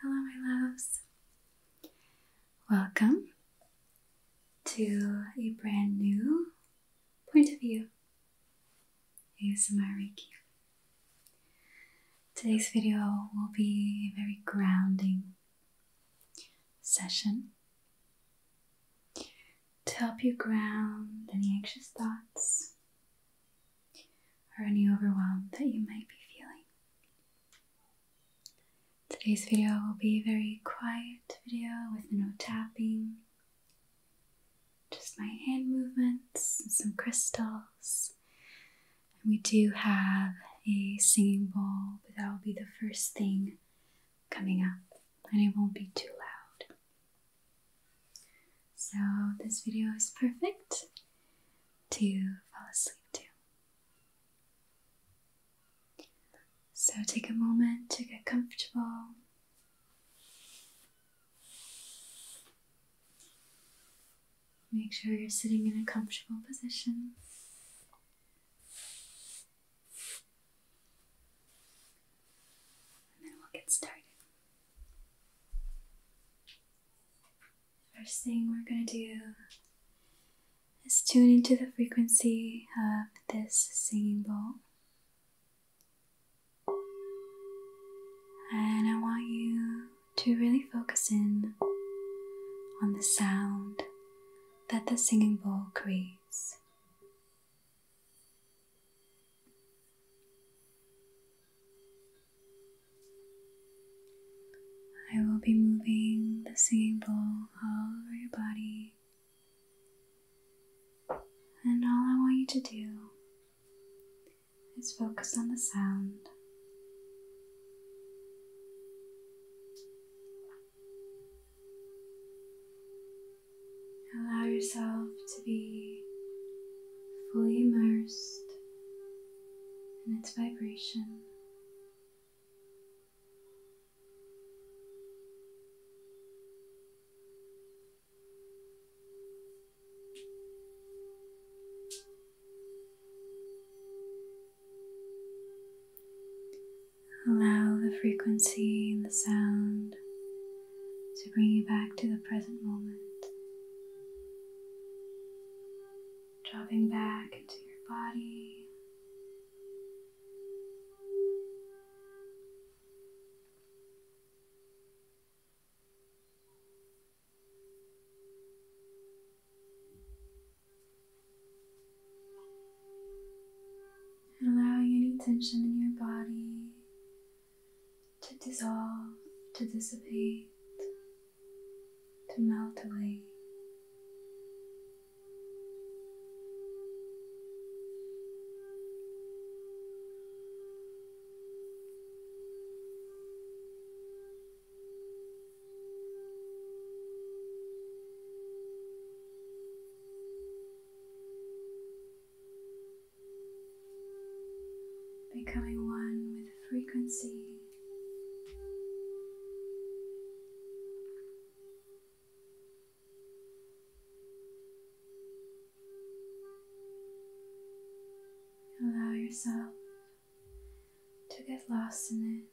Hello, my loves. Welcome to a brand new point of view ASMR Reiki. Today's video will be a very grounding session to help you ground any anxious thoughts or any overwhelm that you might be feeling. Today's video will be a very quiet video with no tapping, just my hand movements and some crystals. And we do have a singing bowl, but that will be the first thing coming up and it won't be too loud. So this video is perfect to fall asleep to. So take a moment to get comfortable. Make sure you're sitting in a comfortable position. And then we'll get started. First thing we're going to do is tune into the frequency of this singing bowl. And I want you to really focus in on the sound that the singing bowl creates. I will be moving the singing bowl all over your body. And all I want you to do is focus on the sound. Allow yourself to be fully immersed in its vibration. Allow the frequency and the sound to bring you back to the present moment. Dropping back into your body allowing any tension in your body to dissolve, to dissipate, to melt away becoming one with frequency. Allow yourself to get lost in it.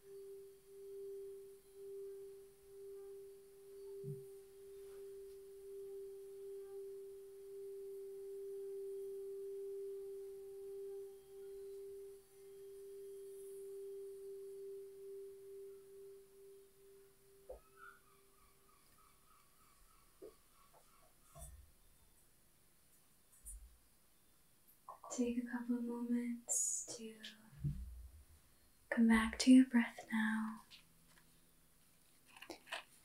Take a couple of moments to Come back to your breath now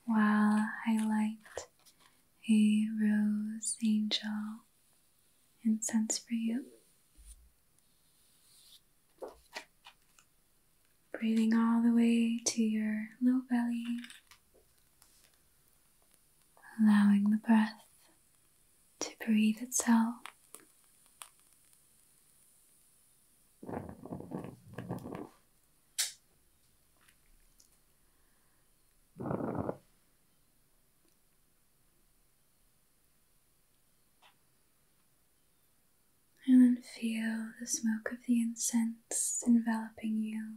while I light a rose angel incense for you. Breathing all the way to your low belly, allowing the breath to breathe itself. And then feel the smoke of the incense enveloping you.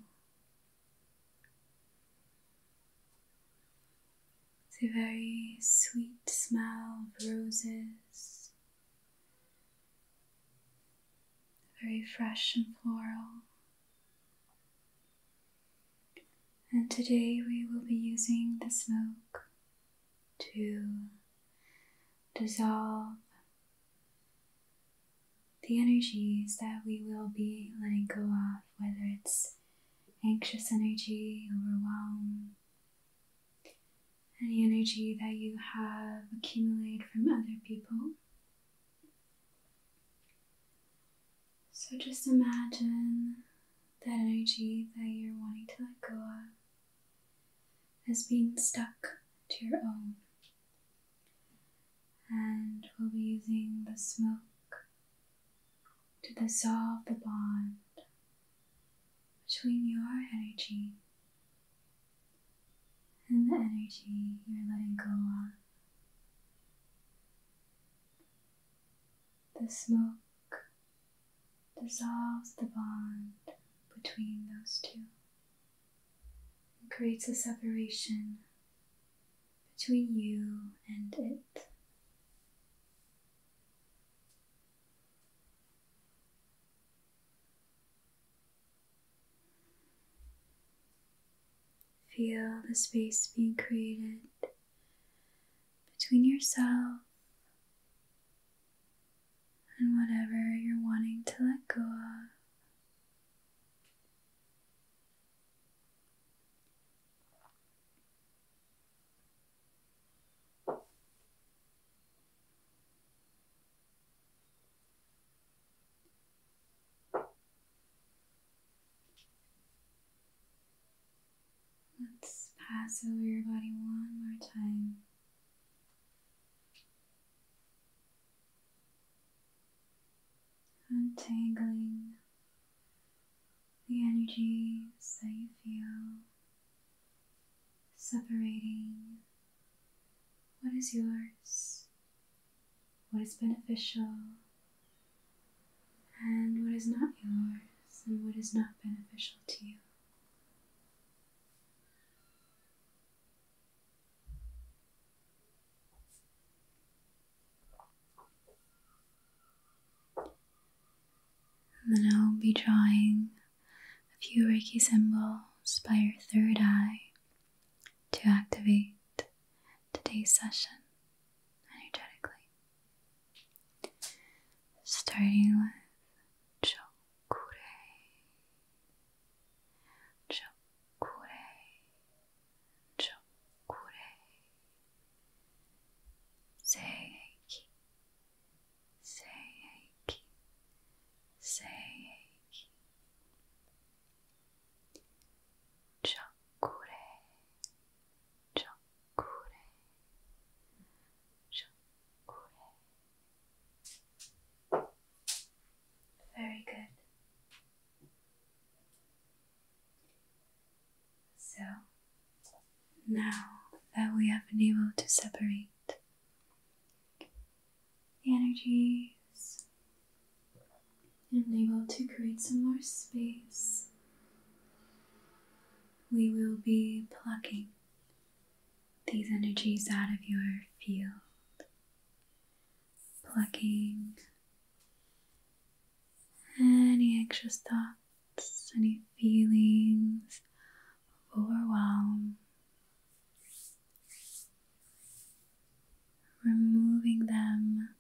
It's a very sweet smell of roses, very fresh and floral. And today we will be using the smoke to dissolve the energies that we will be letting go of, whether it's anxious energy, overwhelm, any energy that you have accumulated from other people. So just imagine that energy that you're wanting to let go of as being stuck to your own. And we'll be using the smoke to dissolve the bond between your energy and the energy you're letting go of. The smoke dissolves the bond between those two and creates a separation between you and it. Feel the space being created between yourself and whatever you're wanting to let go of. Let's pass over your body one more time. Untangling the energies that you feel, separating what is yours, what is beneficial, and what is not yours, and what is not beneficial to you. And then I'll be drawing a few Reiki symbols by your third eye to activate today's session energetically. Starting with Chokure, Chokure, Chokure, Seiki, Seiki, Seiki. Chakure, Chakure, Chakure. Very good. So, now that we have been able to separate the energies and able to create some more space, we will be plucking these energies out of your field, plucking any anxious thoughts thoughts, any feelings overwhelm. Removing them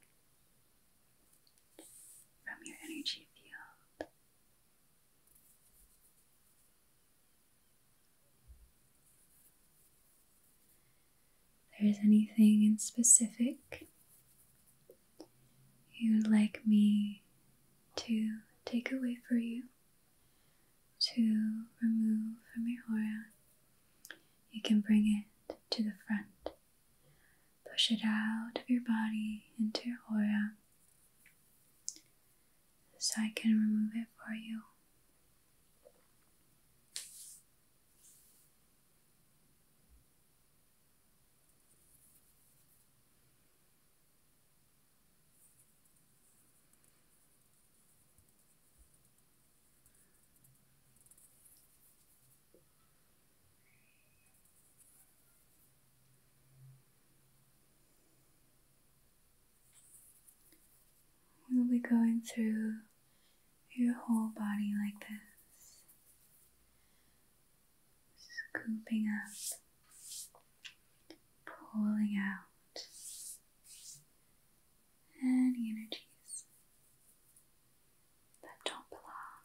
from your energy field. there is anything in specific you'd like me to take away for you, to remove from your aura, you can bring it to the front. Push it out of your body into your aura so I can remove it for you. We'll be going through your whole body like this scooping up, pulling out any energies that don't belong.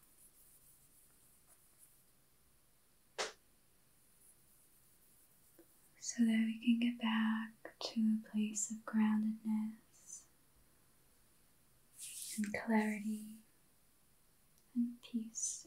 So that we can get back to a place of groundedness and clarity and peace.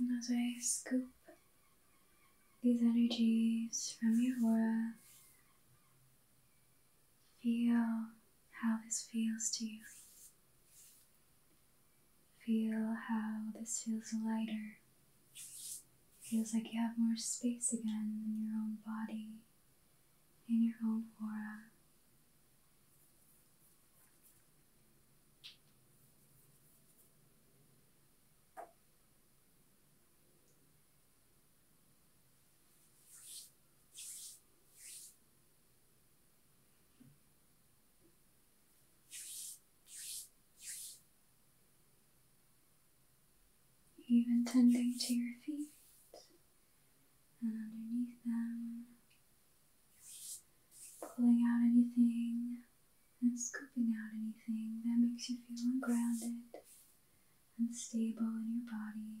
And as I scoop these energies from your aura, feel how this feels to you. Feel how this feels lighter. Feels like you have more space again in your own body, in your own aura. Even tending to your feet and underneath them, pulling out anything and scooping out anything that makes you feel ungrounded and stable in your body.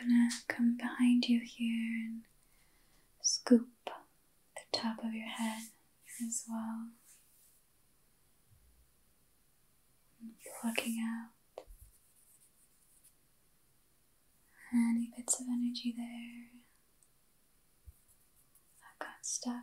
I'm gonna come behind you here and scoop the top of your head as well. Plucking out any bits of energy there. I got stuck.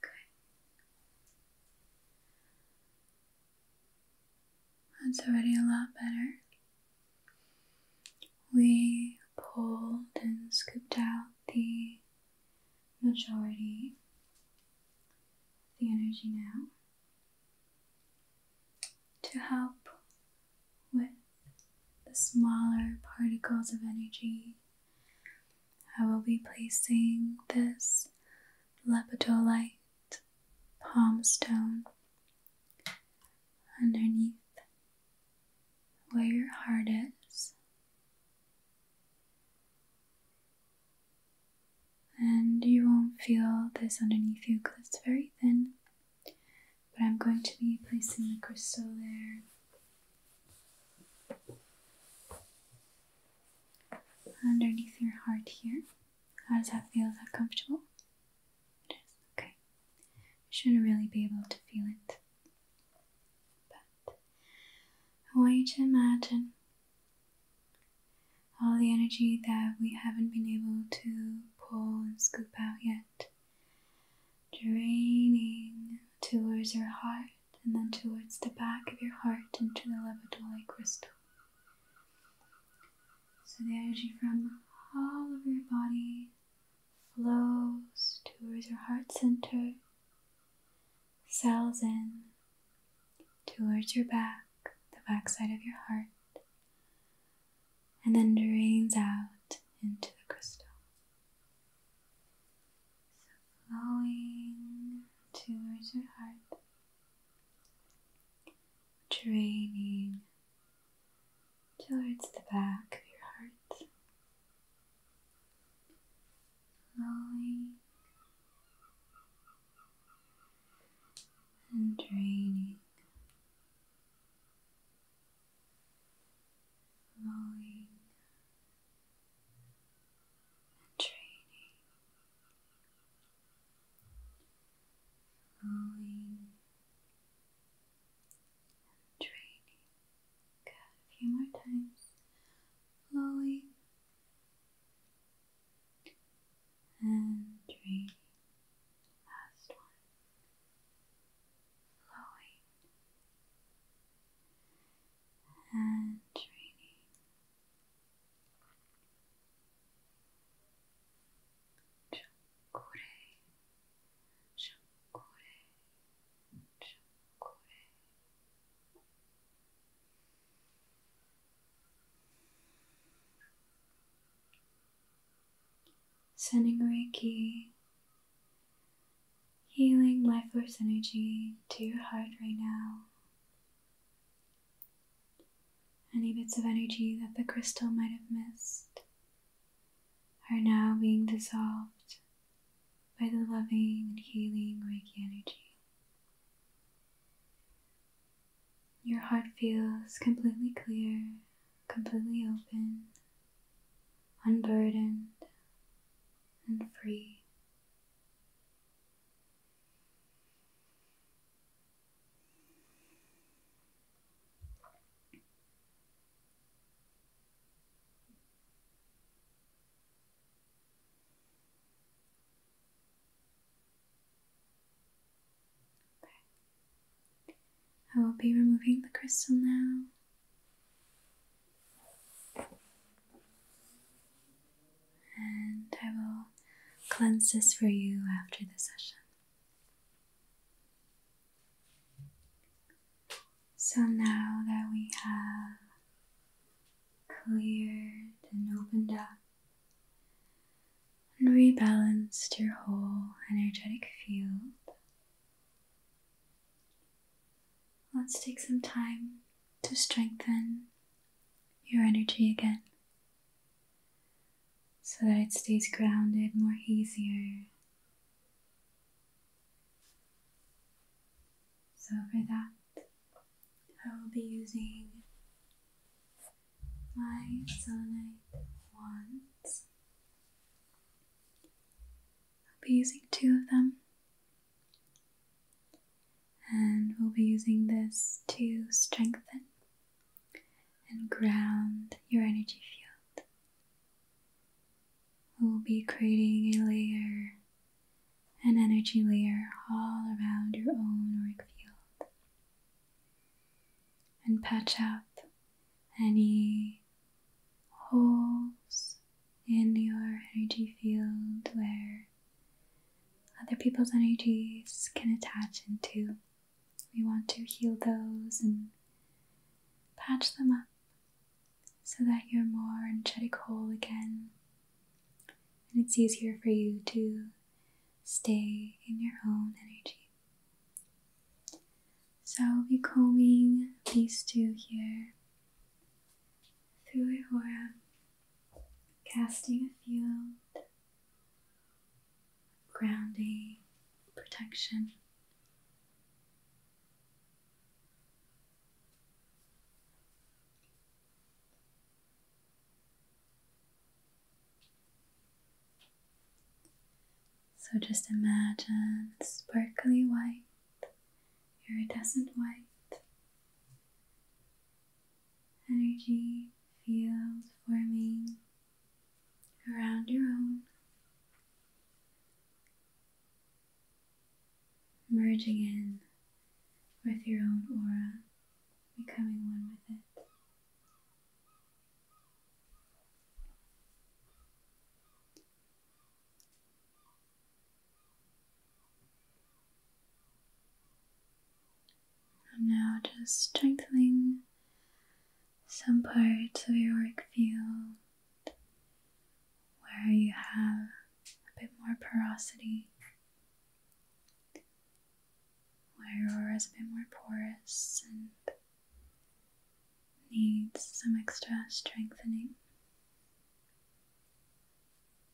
Okay. That's already a lot better. We pulled and scooped out the majority the energy now to help with the smaller particles of energy I will be placing this lepidolite palm stone underneath where your heart is. And you won't feel this underneath you because it's very thin. But I'm going to be placing the crystal there underneath your heart here. How does that feel? Is that comfortable? It is. Okay. You shouldn't really be able to feel it. But I want you to imagine all the energy that we haven't been able to pull and scoop out yet draining towards your heart and then towards the back of your heart into the levatoli crystal. So the energy from all over your body flows towards your heart center, cells in, towards your back, the backside of your heart, and then drains out into the crystal flowing towards your heart, draining towards the back of your heart, flowing and draining. Flowing and training, and training. Good, a few more times, rolling and training. Last one, flowing and training. Chakure, chakure, chakure. Sending Reiki healing life force energy to your heart right now. Any bits of energy that the crystal might have missed are now being dissolved by the loving and healing Reiki energy. Your heart feels completely clear, completely open, unburdened, and free. I will be removing the crystal now. And I will cleanse this for you after the session. So now that we have cleared and opened up and rebalanced your whole energetic field, Let's take some time to strengthen your energy again so that it stays grounded more easier. So, for that, I will be using my Selenite wands. I'll be using two of them and we'll be using this to strengthen and ground your energy field. We'll be creating a layer, an energy layer, all around your own work field. And patch up any holes in your energy field where other people's energies can attach into. We want to heal those and patch them up so that you're more energetic whole again. And it's easier for you to stay in your own energy. So I'll be combing these two here through Aurora, casting a field grounding, protection. So just imagine sparkly white, iridescent white energy field forming around your own, merging in with your own aura, becoming one with it. I'm now just strengthening some parts of your work field where you have a bit more porosity, where your aura is a bit more porous and needs some extra strengthening.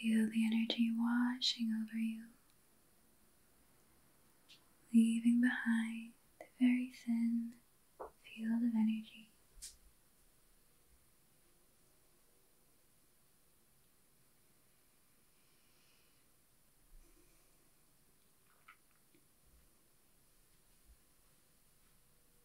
Feel the energy washing over you, leaving behind the very thin field of energy.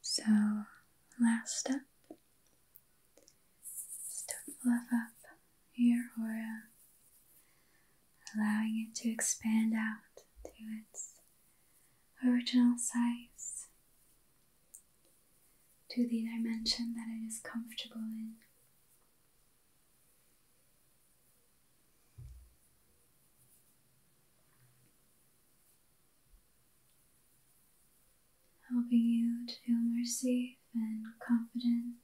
So, last step is to fluff up your aura, allowing it to expand out to its original size, to the dimension that it is comfortable in helping you to feel more safe and confident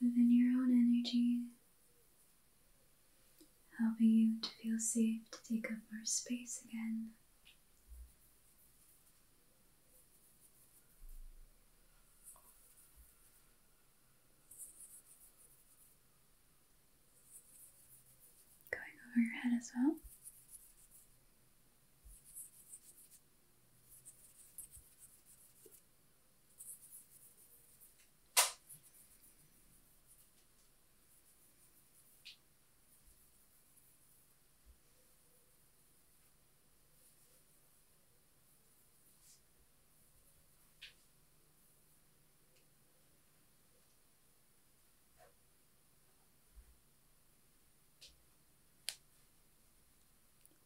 within your own energy, helping you to feel safe to take up more space again. Going over your head as well.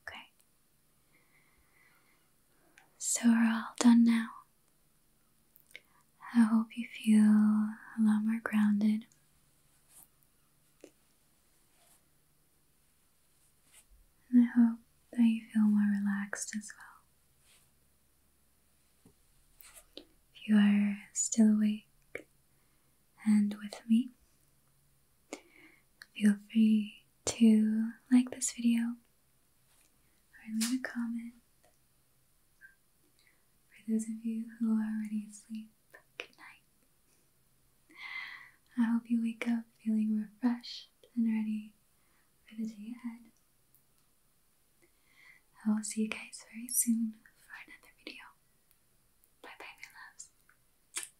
Okay. So we're all done now. I hope you feel a lot more grounded. And I hope that you feel more relaxed as well. If you are still awake and with me, feel free to like this video or leave a comment. For those of you who are already asleep, good night. I hope you wake up feeling refreshed and ready for the day ahead. I will see you guys very soon for another video. Bye bye, my loves.